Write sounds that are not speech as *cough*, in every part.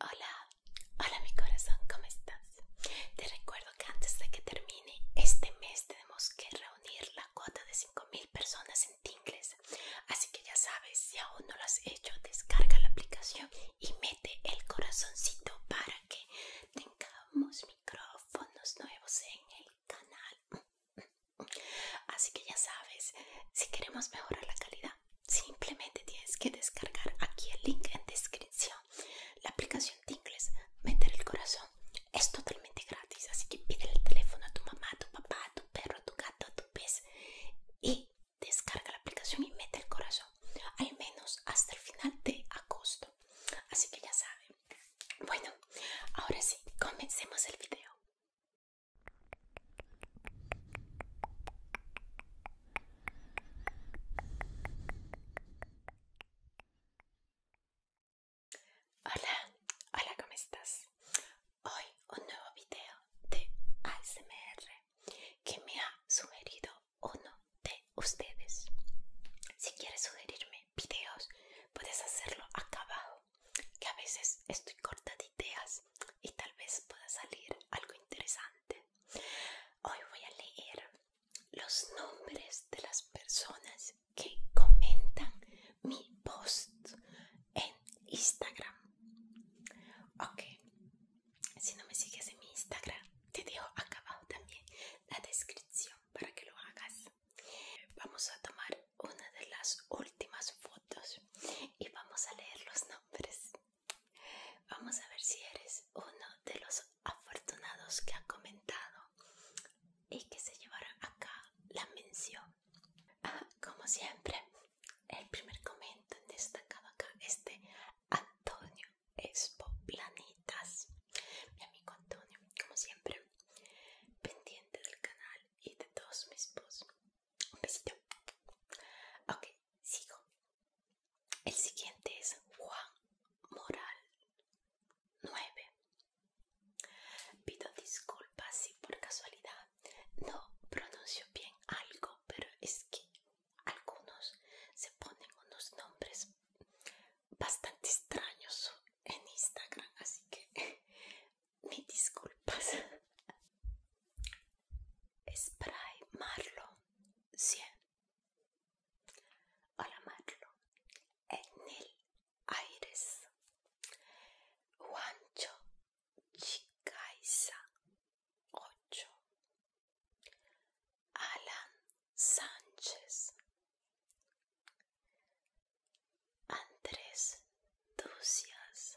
Hola, hola mi corazón, ¿cómo estás? Te recuerdo que antes de que termine este mes tenemos que reunir la cuota de 5.000 personas en Tingles. Así que ya sabes, si aún no lo has hecho, descarga la aplicación y mete el corazoncito para que tengamos micrófonos nuevos en el canal. Así que ya sabes, si queremos mejorar la calidad Simplemente tienes que descargar aquí el link en descripción. La aplicación de inglés meter el corazón, es totalmente gratis. Así que pide el teléfono a tu mamá, a tu papá, a tu perro, a tu gato, a tu pez y descarga la aplicación y mete el corazón. Al menos hasta el final de agosto. Así que ya saben. Bueno, ahora sí, comencemos el video. Hola, hola, ¿cómo estás? Hoy un nuevo video de ASMR que me ha sugerido uno de ustedes. Si quieres sugerirme videos, puedes hacerlo acá abajo, que a veces estoy corta de ideas pues, y tal vez pueda salir algo interesante. Hoy voy a leer los nombres de las personas que comentan mi post en Instagram. Ok, si no me sigues en mi Instagram, te dejo acá abajo también la descripción para que lo hagas. Vamos a tomar una de las últimas fotos y vamos a leer los nombres. Vamos a ver si eres uno de los afortunados que ha comentado y que se llevará acá la mención. Ah, *laughs* como siempre, el primer comentario destacado acá es de Antonio Espoplanitas. Mi amigo Antonio, como siempre, pendiente del canal y de todos mis posts. Un besito. Ok, sigo. El siguiente es Juan Moral 9. Pido disculpas si por casualidad no pronuncio bien algo, pero es que algunos se ponen unos nombres bastante extraños en Instagram, así que *laughs* mis disculpas. Spray Marlo 100. Hola Marlo. Etnil Aires. Juancho Chicaiza 8. Alan Sánchez. Andrés Ducias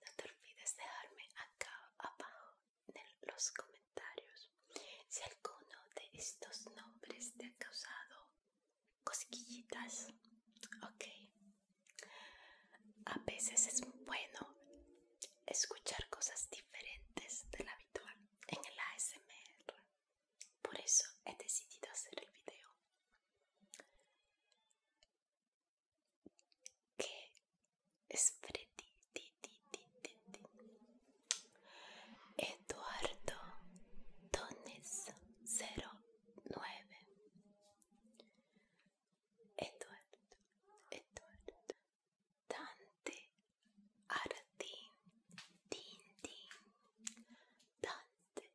No te olvides dejarme acá abajo en los comentarios si alguno de estos nombres te ha causado cosquillitas. Ok. A veces es bueno escuchar cosas diferentes de la habitual en el ASMR. Por eso he decidido hacer el video. que es Eduardo Dones 09 Eduardo, Eduardo Dante Artín Tintín Dante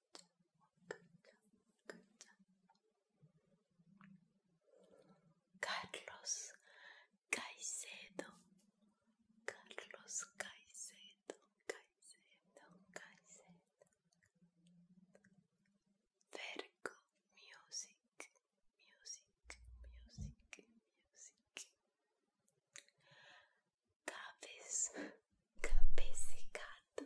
Carlos Caicedo, Carlos Caicedo, Caicedo, Caicedo. Vergo Music, Music, Music, Music. Cabez, cabecicato,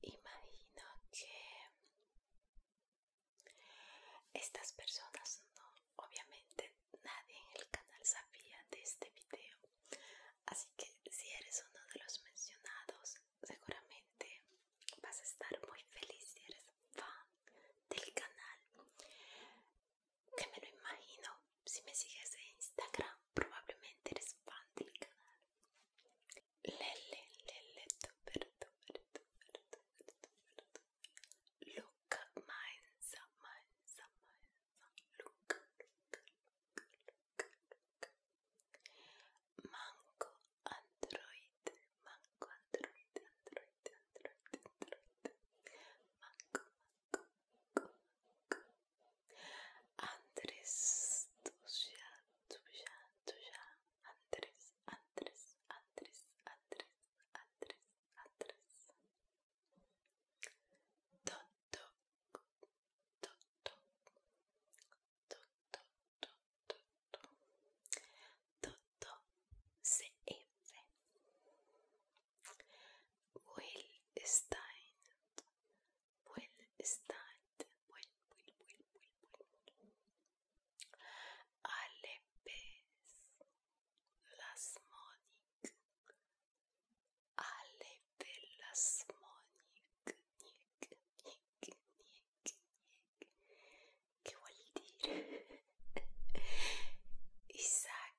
Imagino que estas personas no, obviamente nadie en el canal sabía de este video, así que si eres uno de los mencionados, seguramente vas a estar muy feliz si eres fan del canal che me lo immagino si me sigues en Instagram probablemente eres fan del canal Lele, Lele, super, super, super, super, super, Luca Manza, Manza, Manza, Luca, Luca, Luca, Luca, Luca Manco Android, Manco Android, Android, Android, Android Manco, Andrés, ya, tuya, ya, Andrés, Andrés, Andrés, Andrés, Andrés, Andrés. Toto, toto, toto, toto, toto, toto, cf. Will Stein, Will Stein, Will, Will, Will, Will, Will. Alepes, Lasmonic, Alepe Lasmonic, Nick, Nick, Nick, Nick. ¿Qué voy a decir? Isaac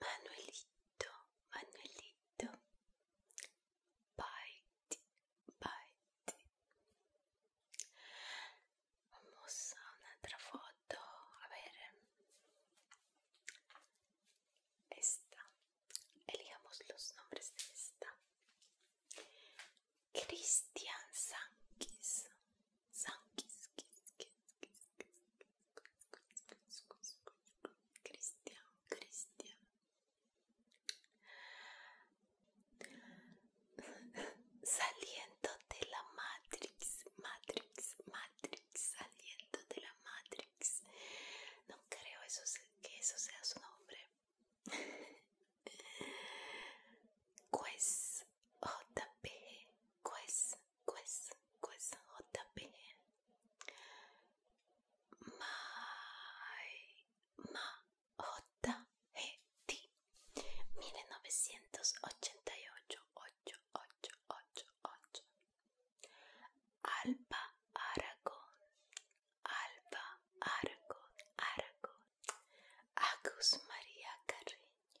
Manuelito, Manuelito. Paiti Paiti Vamos a otra foto, a ver. Esta. Elijamos los nombres de esta. Christian Sankis. Sankis, Cristian, Saliendo de la Matrix, Matrix, Matrix, saliendo de la Matrix. No creo que eso sea su nombre. Ques JP, Ques, Ques, Ques JP. My, ma, J, E T. 1988, 8, 8, 8, 8. Alba Aragón, Alba Argo Aragón. Agus María Carreño,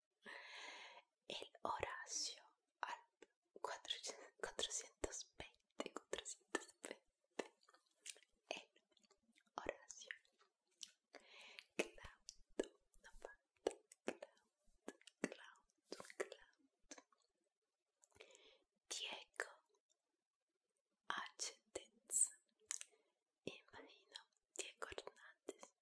El Horacio 420, 420. El Horacio. Cloud, no falta. Cloud, Cloud, Cloud. Diego H. Denz. Imagino Diego Hernández.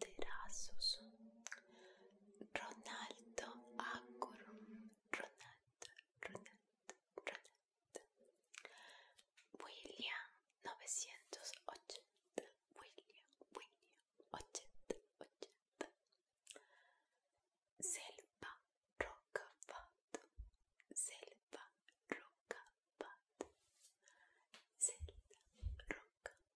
Terazos Ronaldo Agurum Ronaldo, Ronaldo, Ronaldo, William 980, William, William 80, 80, Selva Rocapato, Selva Rocapato, Selva Rocapato.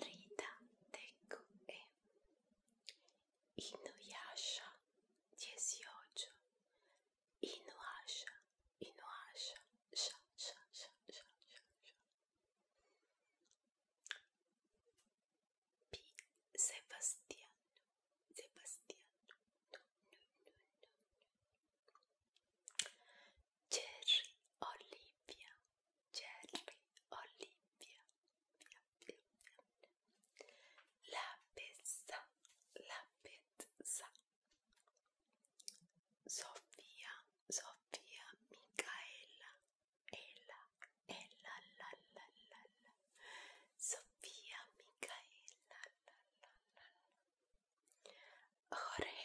Rita TQE Inuyasha 18 Inuyasha Inuyasha sha, sha, sha, sha, sha, sha. P. Sebastiano Sebastiano Jerry Olivia, Jerry Olivia, via, via, via. La pezza, la pezza. Sofia, Sofia, Micaela, Ella, Ella, la, la, la, la. Sofia, Micaela, la, la, la, la. Jorge,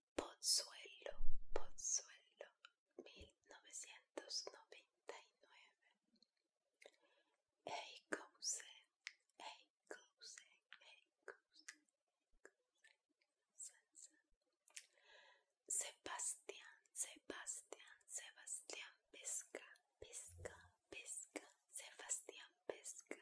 Pozuelo, Pozuelo, 1999. Hey, cousin, hey, cousin, hey, cousin, Sebastián, Sebastián, Sebastián Pesca, Pesca, Pesca, Sebastián Pesca.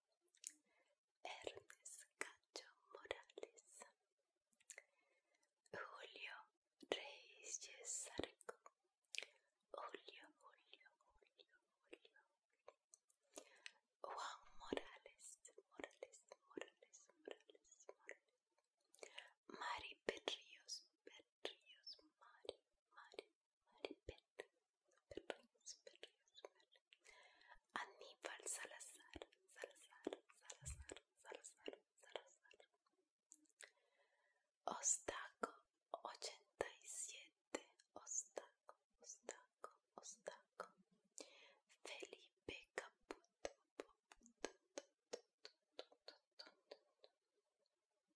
Ernest Cacho Morales, Julio Reyes Sarco, Julio, Julio, Julio, Juan Morales, Morales, Morales, Morales, Morales, Mari Perríos, Perríos, Mari, Mari, Aníbal Salazar, Salazar, Salazar, Salazar, Salazar. Ostaco 87, Ostaco, Ostaco, Ostaco. Felipe Caputo.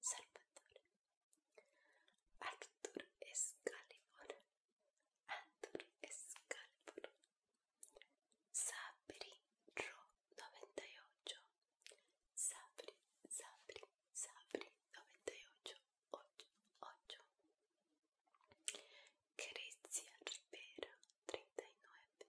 Salvatore, Arthur Excalibur, Arthur Excalibur, Sabri Ro 98, Sabri, Sabri, Sabri 98, 8, 8, Grecia Rivera 39,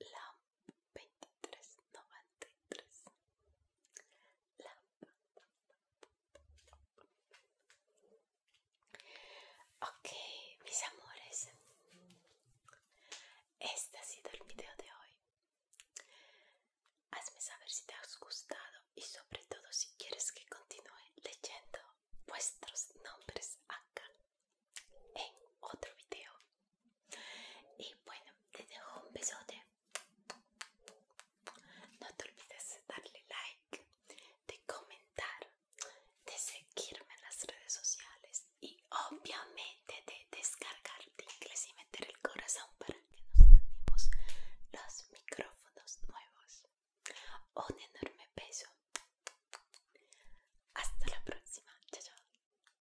LAMP 2393 LAMP Ok, mis amores, este ha sido el video de hoy. Hazme saber si te ha gustado y sobre todo si quieres que continúe leyendo vuestros nombres acá en otro video. Y bueno, te dejo un besote. No te olvides de darle like, de comentar, de seguirme en las redes sociales y obviamente de descargar inglés y meter el corazón para que nos ganemos los micrófonos nuevos. Un enorme beso. Hasta la próxima. chao.